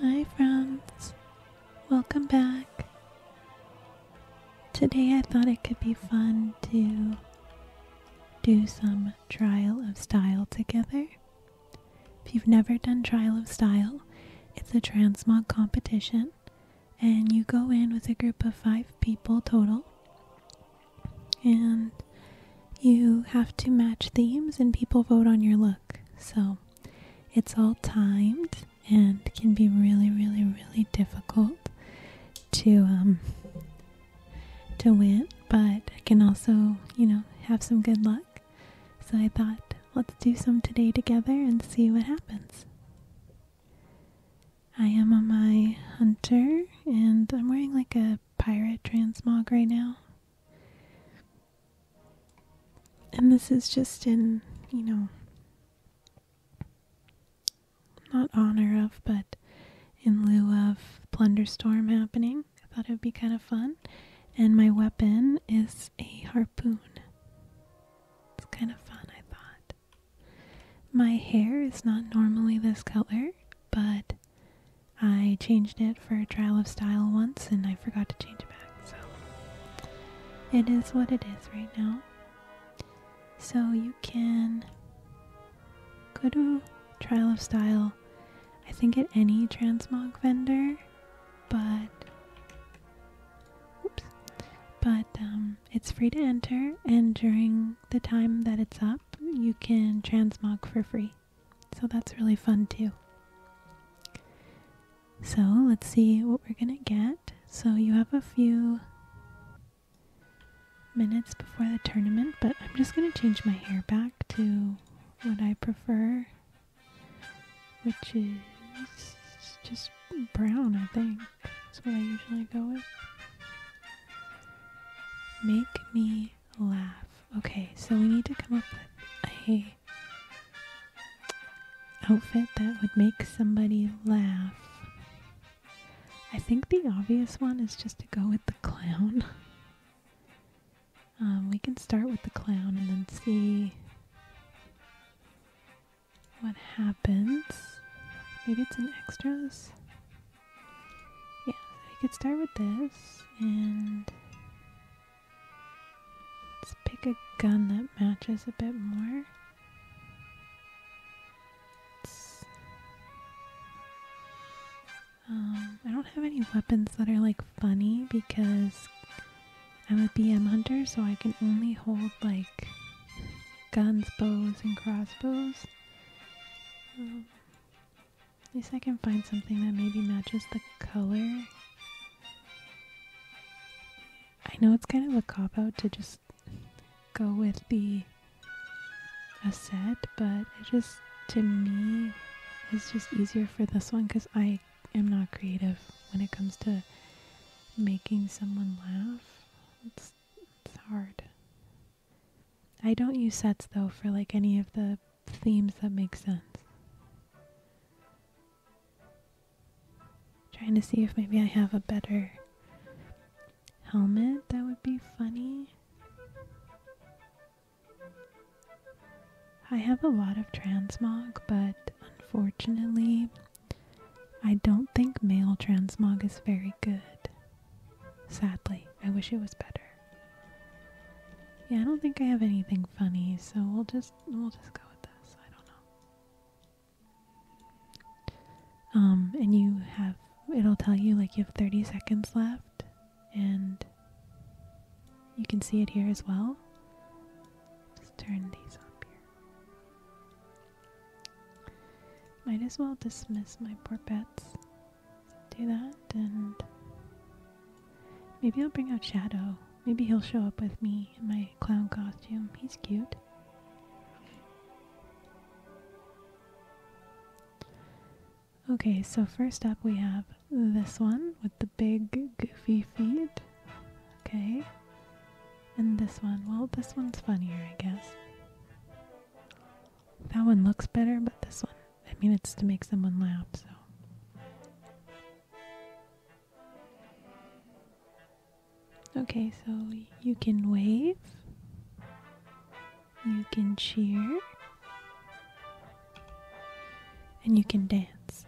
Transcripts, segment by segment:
Hi, friends. Welcome back. Today I thought it could be fun to do some trial of style together. If you've never done trial of style, it's a transmog competition and you go in with a group of five people total, and you have to match themes, and people vote on your look. So it's all timed and can be really, really, really difficult to um, to win, but I can also, you know, have some good luck. So I thought, let's do some today together and see what happens. I am on my hunter, and I'm wearing like a pirate transmog right now. And this is just in, you know, not honor of, but in lieu of Plunderstorm happening. I thought it would be kind of fun. And my weapon is a harpoon. It's kind of fun, I thought. My hair is not normally this color, but I changed it for a trial of style once and I forgot to change it back, so it is what it is right now. So you can go to trial of style, I think at any transmog vendor, but oops, but um, it's free to enter, and during the time that it's up, you can transmog for free. So that's really fun too. So let's see what we're gonna get. So you have a few minutes before the tournament, but I'm just gonna change my hair back to what I prefer, which is just brown, I think. That's what I usually go with. Make me laugh. Okay, so we need to come up with a outfit that would make somebody laugh. I think the obvious one is just to go with the clown. Um, we can start with the clown and then see what happens. Maybe it's an extras. Yeah, so you could start with this and let's pick a gun that matches a bit more. um, I don't have any weapons that are like funny because I'm a BM hunter, so I can only hold like guns, bows, and crossbows. Um, at least I can find something that maybe matches the color. I know it's kind of a cop out to just go with the a set, but it just to me is just easier for this one because I am not creative when it comes to making someone laugh it's hard. I don't use sets though for like any of the themes that make sense. Trying to see if maybe I have a better helmet that would be funny. I have a lot of transmog, but unfortunately, I don't think male transmog is very good. Sadly, I wish it was better. Yeah, I don't think I have anything funny, so we'll just we'll just go with this. I don't know. Um, and you have it'll tell you like you have 30 seconds left and you can see it here as well. Just turn these up here. Might as well dismiss my poor pets. Do that, and maybe I'll bring out Shadow. Maybe he'll show up with me in my clown costume. He's cute. Okay, so first up we have this one with the big goofy feet. Okay. And this one. Well, this one's funnier, I guess. That one looks better, but this one, I mean, it's to make someone laugh, so. Okay, so you can wave, you can cheer, and you can dance.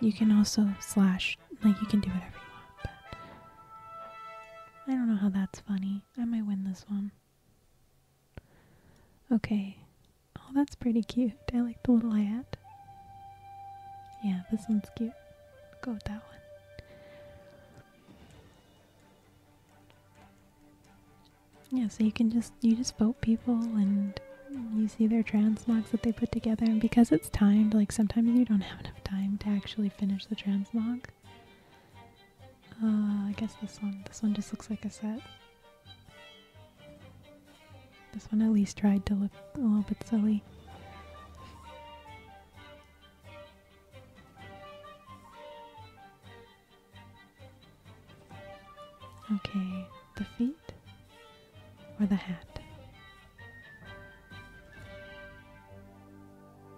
You can also slash like, you can do whatever you want, but I don't know how that's funny. I might win this one. Okay. Oh, that's pretty cute. I like the little hat. Yeah, this one's cute. Go with that one. Yeah, so you can just you just vote people and you see their transmogs that they put together and because it's timed, like sometimes you don't have enough time to actually finish the transmog. Uh, I guess this one. This one just looks like a set. This one at least tried to look a little bit silly. Okay, the feet or the hat?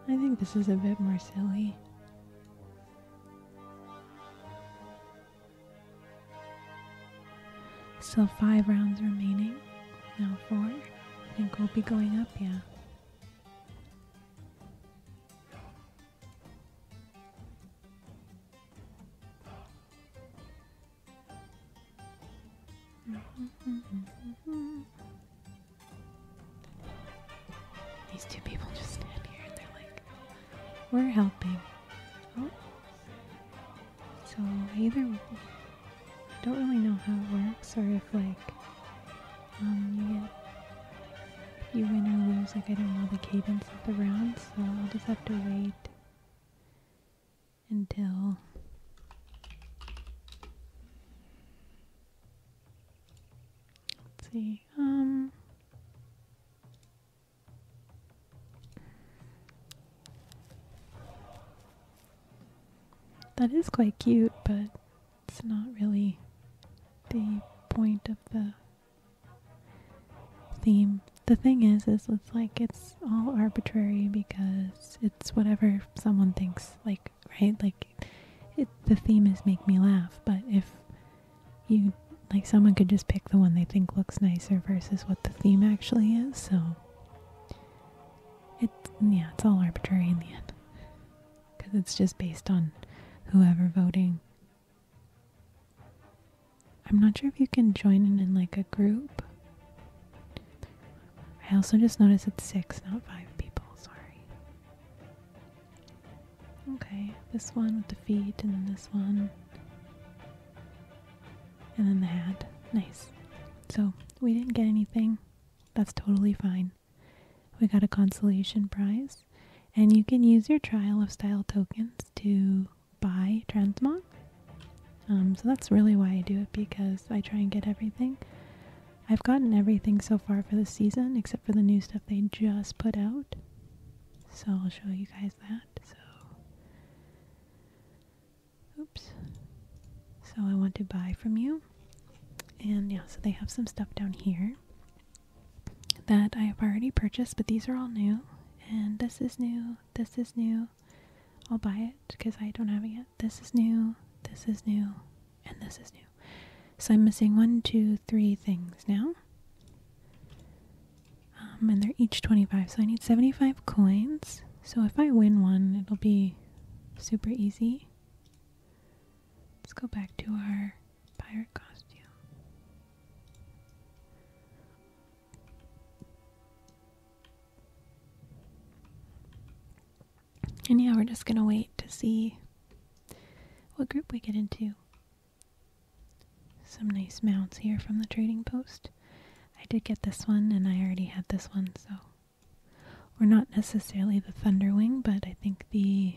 I think this is a bit more silly. Still five rounds remaining. Now four. I think we'll be going up, yeah. Mm-hmm. These two people just stand here and they're like, we're helping. Oh. So either I don't really know how it works or if like um, you you win or lose, like I don't know the cadence of the round, so I'll just have to wait until Let's see. Um That is quite cute, but it's not really the point of the theme. The thing is is it's like it's all arbitrary because it's whatever someone thinks like right? Like, the theme is make me laugh, but if you like, someone could just pick the one they think looks nicer versus what the theme actually is, so it, yeah, it's all arbitrary in the end because it's just based on whoever voting. I'm not sure if you can join in in like a group. I also just noticed it's six, not five people. Sorry. Okay, this one with the feet, and then this one, and then the hat. Nice. So we didn't get anything. That's totally fine. We got a consolation prize, and you can use your Trial of Style tokens to buy transmog. Um, so that's really why I do it because I try and get everything. I've gotten everything so far for the season except for the new stuff they just put out. So I'll show you guys that. So oops. So I want to buy from you. And yeah, so they have some stuff down here that I have already purchased, but these are all new. And this is new. This is new. I'll buy it because I don't have it yet this is new, this is new, and this is new. So I'm missing one, two, three things now. Um, and they're each 25, so I need 75 coins. So if I win one, it'll be super easy. Let's go back to our pirate costume. And yeah, we're just gonna wait to see what group we get into. Some nice mounts here from the trading post. I did get this one, and I already had this one, so. we're not necessarily the Thunderwing, but I think the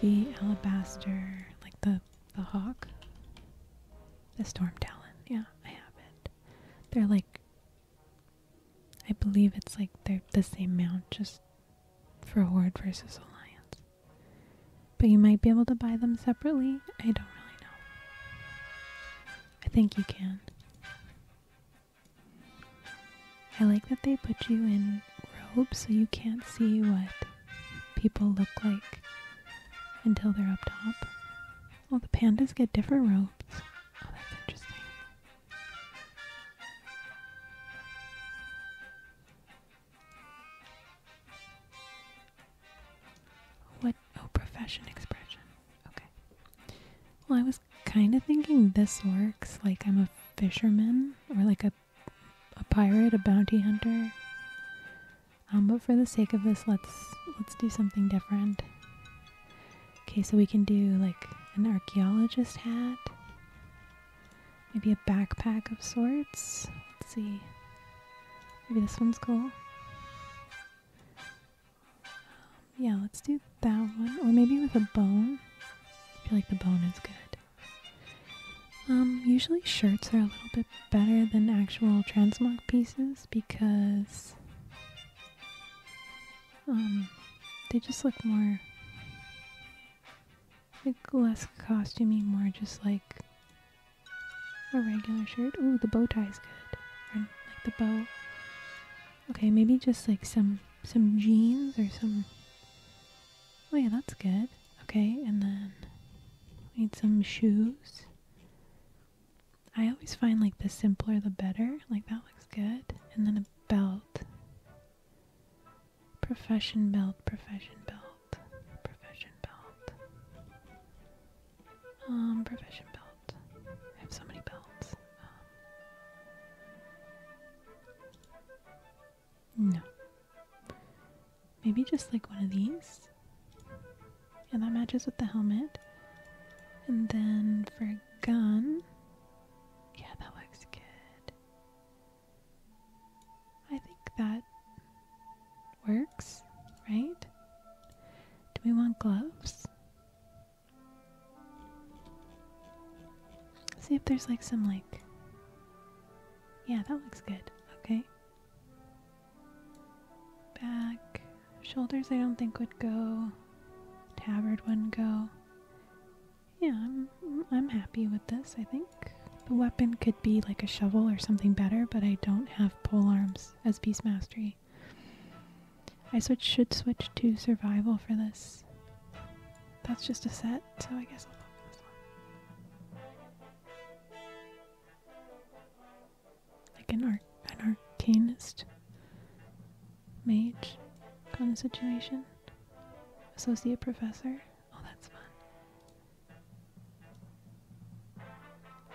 the alabaster, like the the hawk, the storm talon. Yeah, I have it. They're like I believe it's like they're the same amount, just for Horde versus Alliance. But you might be able to buy them separately. I don't really know. I think you can. I like that they put you in robes so you can't see what people look like until they're up top. Well, the pandas get different robes. Oh, that's interesting. What? Oh, profession expression. Okay. Well, I was kind of thinking this works. Like I'm a fisherman or like a a pirate, a bounty hunter. Um, but for the sake of this, let's let's do something different. Okay, so we can do like an archaeologist hat. Maybe a backpack of sorts. Let's see. Maybe this one's cool. Yeah, let's do that one. Or maybe with a bone. I feel like the bone is good. Um, usually shirts are a little bit better than actual transmog pieces because um, they just look more like less costumey, more just like a regular shirt. Ooh, the bow tie's good. like the bow. Okay, maybe just like some some jeans or some. Oh yeah, that's good. Okay, and then need some shoes. I always find like the simpler the better. Like that looks good. And then belt, profession belt, profession belt, profession belt, um, profession belt. I have so many belts. Um, no. Maybe just like one of these. And that matches with the helmet. And then for gun, yeah, that looks good. I think that works, right? Do we want gloves? See if there's like some like. Yeah, that looks good. Okay. Back. Shoulders I don't think would go tabard wouldn't go. Yeah, I'm I'm happy with this, I think. The weapon could be like a shovel or something better, but I don't have pole arms as beast mastery. I switch, should switch to survival for this. That's just a set, so I guess I'll look this one. Like an art an arcanist mage kind of situation? Associate professor? Oh, that's fun.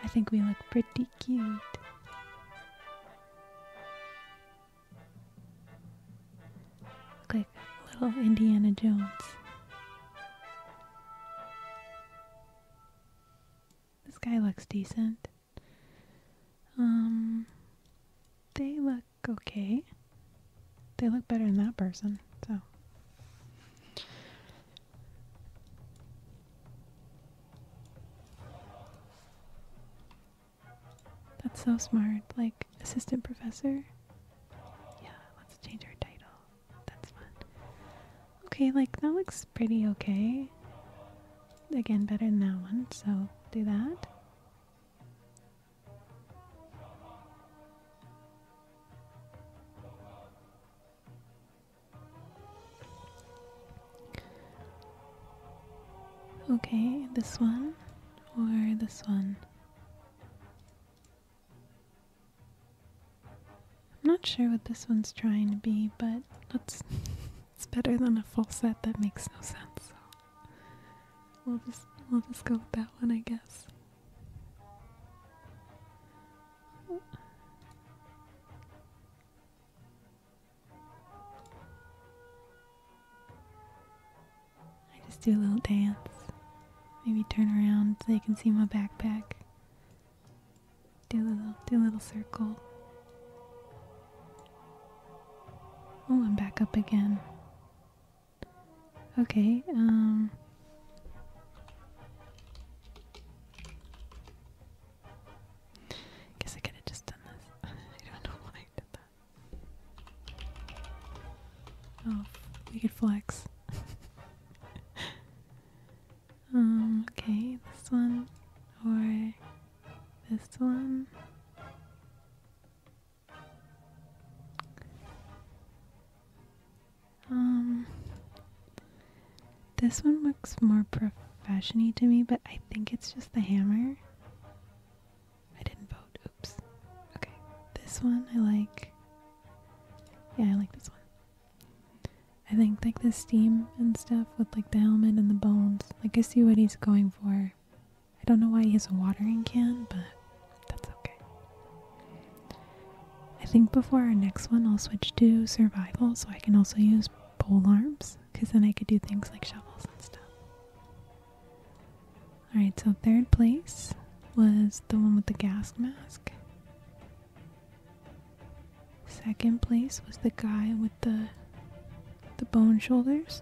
I think we look pretty cute. Look like little Indiana Jones. This guy looks decent. Um, they look okay. They look better than that person, so. That's so smart. Like, assistant professor? Yeah, let's change our title. That's fun. Okay, like, that looks pretty okay. Again, better than that one, so do that. Okay, this one or this one? I'm not sure what this one's trying to be, but let's It's better than a full set that makes no sense. we'll just we'll just go with that one, I guess. I just do a little dance. Maybe turn around so they can see my backpack. Do a little do a little circle. Oh, I'm back up again. Okay, um. Guess I could have just done this. I don't know why I did that. Oh, we could flex. Um, okay, this one. Or this one. Um, this one looks more professiony to me, but I think it's just the hammer. I didn't vote. Oops. Okay, this one I like. Yeah, I like this one. I think like the steam and stuff with like the helmet and the bones. Like I see what he's going for. I don't know why he has a watering can, but that's okay. I think before our next one, I'll switch to survival so I can also use pole arms because then I could do things like shovels and stuff. Alright, so third place was the one with the gas mask. Second place was the guy with the the bone shoulders.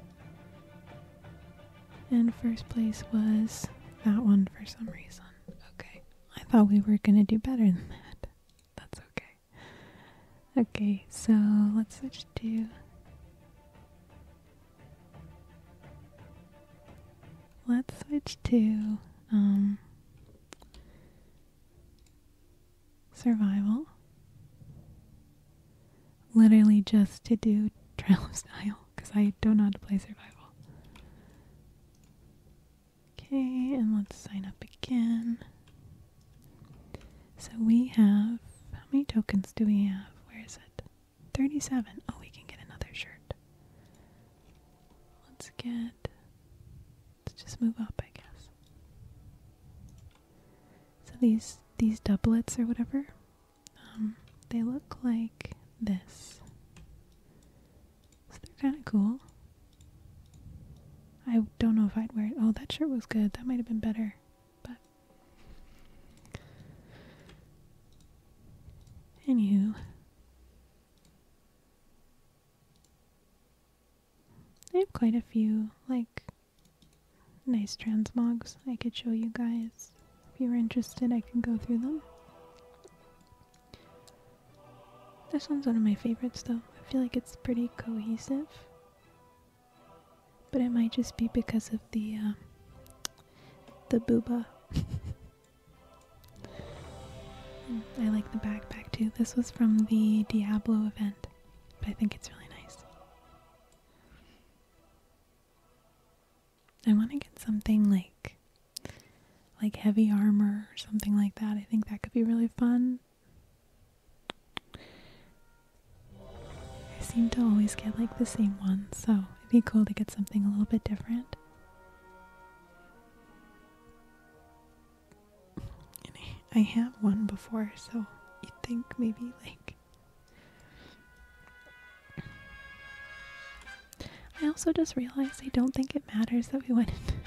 And first place was that one for some reason. Okay. I thought we were going to do better than that. That's okay. Okay, so let's switch to. Let's switch to um, survival literally just to do trial of Style because I don't know how to play survival. Okay, and let's sign up again. So we have how many tokens do we have? Where is it? 37. Oh, we can get another shirt. Let's get let's just move up, I guess. So these these doublets or whatever, um, they look like this. So they're kind of cool. I don't know if I'd wear it. Oh, that shirt was good. That might have been better. But anywho. I have quite a few, like nice transmogs I could show you guys. If you were interested, I can go through them. This one's one of my favorites though. I feel like it's pretty cohesive. But it might just be because of the uh, the booba. Mm, I like the backpack too. This was from the Diablo event, but I think it's really nice. I want to get something like like heavy armor or something like that. I think that could be really fun. I seem to always get like the same one, so it'd be cool to get something a little bit different. I, I have one before, so you'd think maybe like I also just realized I don't think it matters that we went into,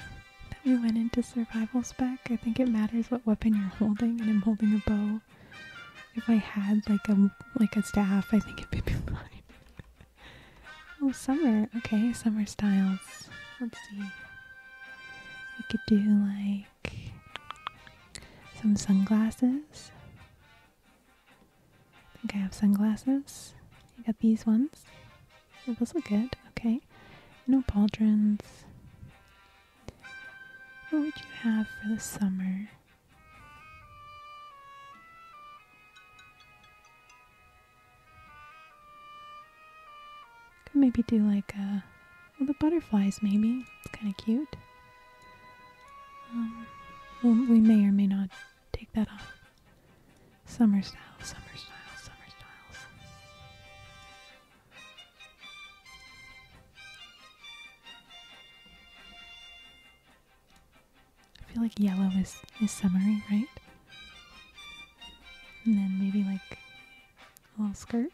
that we went into survival spec. I think it matters what weapon you're holding, and I'm holding a bow. If I had like a like a staff, I think it'd be fine. oh, summer. Okay, summer styles. Let's see. We could do like some sunglasses. I think I have sunglasses. I got these ones. Oh, those look good. Okay. No pauldrons. What would you have for the summer? Could maybe do like a well, the butterflies, maybe. It's kind of cute. Um, we may or may not take that off. Summer style, summer style, summer styles. I feel like yellow is, is summery, right? And then maybe like a little skirt.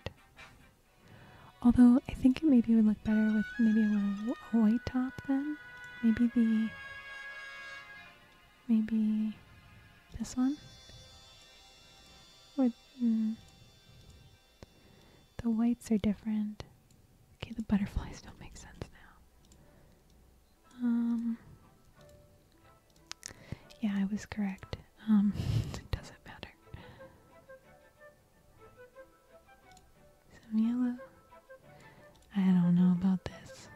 Although I think it maybe would look better with maybe a little white top then. Maybe the maybe this one or hmm. the whites are different. Okay, the butterflies don't make sense now. Um, yeah, I was correct. Um, it doesn't matter. Some yellow. I don't know about this.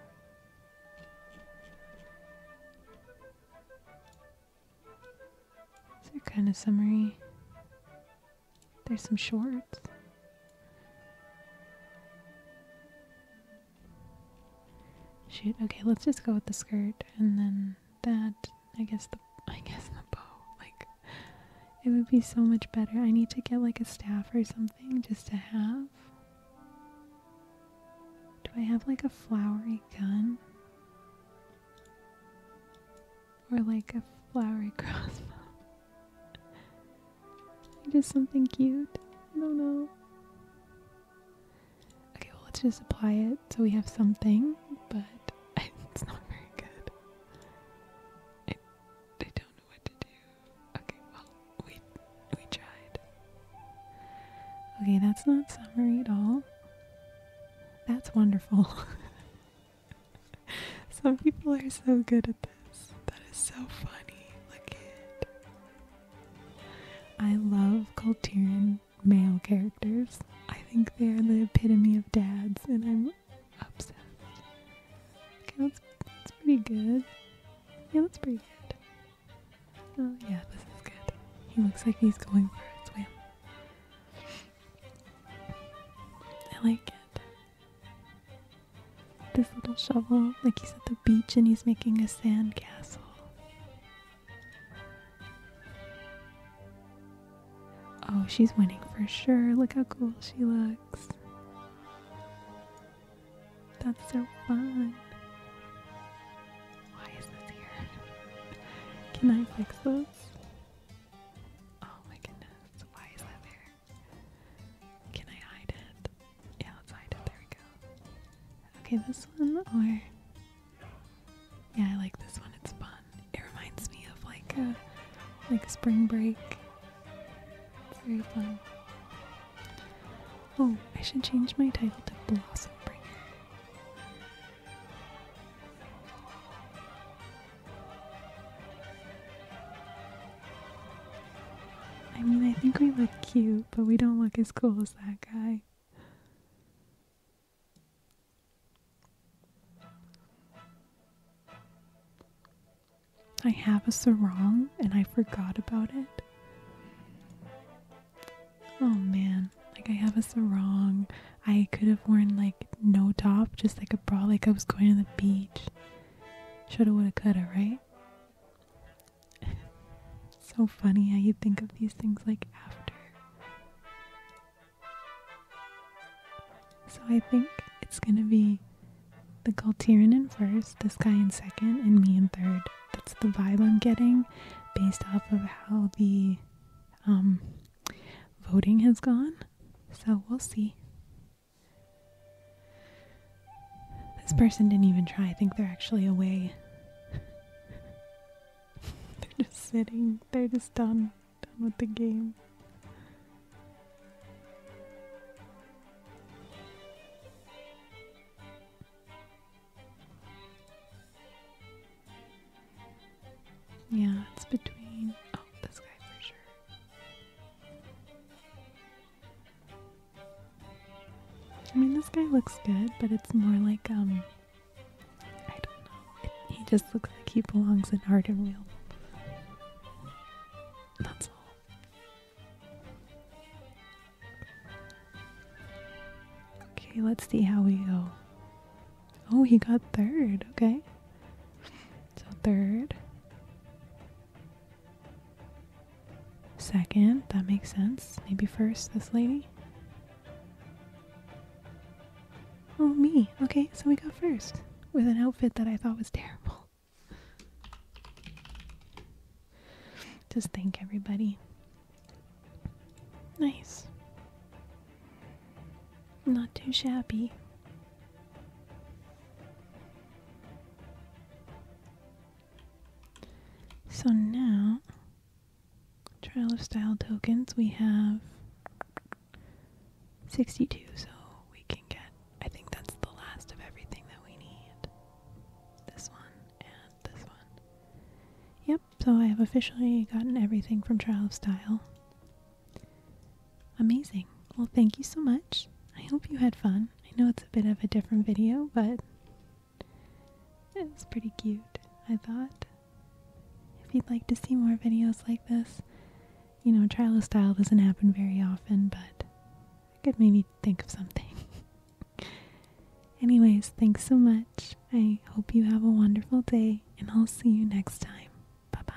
These are kind of summery. There's some shorts. Shoot, okay, let's just go with the skirt and then that I guess the I guess the bow. Like it would be so much better. I need to get like a staff or something just to have. Do I have like a flowery gun? Or like a flowery crossbow? just something cute. I don't know. Okay, well, let's just apply it so we have something, but it's not very good. I, don't know what to do. Okay, well, we, we tried. Okay, that's not summary at all. That's wonderful. Some people are so good at this. That is so funny. Look at it. I love Kulturn male characters. I think they are the epitome of dads, and I'm obsessed. Okay, that's, that's pretty good. Yeah, that's pretty good. Oh yeah, this is good. He looks like he's going for a swim. I like it. This little shovel, like he's at the beach and he's making a sand castle. Oh, she's winning for sure. Look how cool she looks. That's so fun. Why is this here? Can I fix this? Oh my goodness. Why is that there? Can I hide it? Yeah, let's hide it. There we go. Okay, this one or yeah, I like this one. It's fun. It reminds me of like a uh, like spring break. It's very fun. Oh, I should change my title to Blossom Break. I mean, I think we look cute, but we don't look as cool as that guy. I have a sarong and I forgot about it. Oh man, like I have a sarong. I could have worn like no top, just like a bra, like I was going to the beach. Shoulda, woulda, coulda, right? so funny how you think of these things like after. So I think it's going to be the Galterian in first, this guy in second, and me in third. That's the vibe I'm getting based off of how the um, voting has gone. So we'll see. This person didn't even try. I think they're actually away. they're just sitting, they're just done. Done with the game. Yeah, it's between. Oh, this guy for sure. I mean, this guy looks good, but it's more like, um, I don't know. He just looks like he belongs in heart and wheel. That's all. Okay, let's see how we go. Oh, he got third. Okay. So third. Second, that makes sense. Maybe first, this lady. Oh, me. Okay, so we go first with an outfit that I thought was terrible. Just thank everybody. Nice. Not too shabby. So now, Trial of Style tokens, we have 62, so we can get, I think that's the last of everything that we need. This one and this one. Yep, so I have officially gotten everything from Trial of Style. Amazing. Well, thank you so much. I hope you had fun. I know it's a bit of a different video, but it was pretty cute, I thought. If you'd like to see more videos like this, you know, trial of style doesn't happen very often, but I could maybe think of something. Anyways, thanks so much. I hope you have a wonderful day, and I'll see you next time. Bye bye.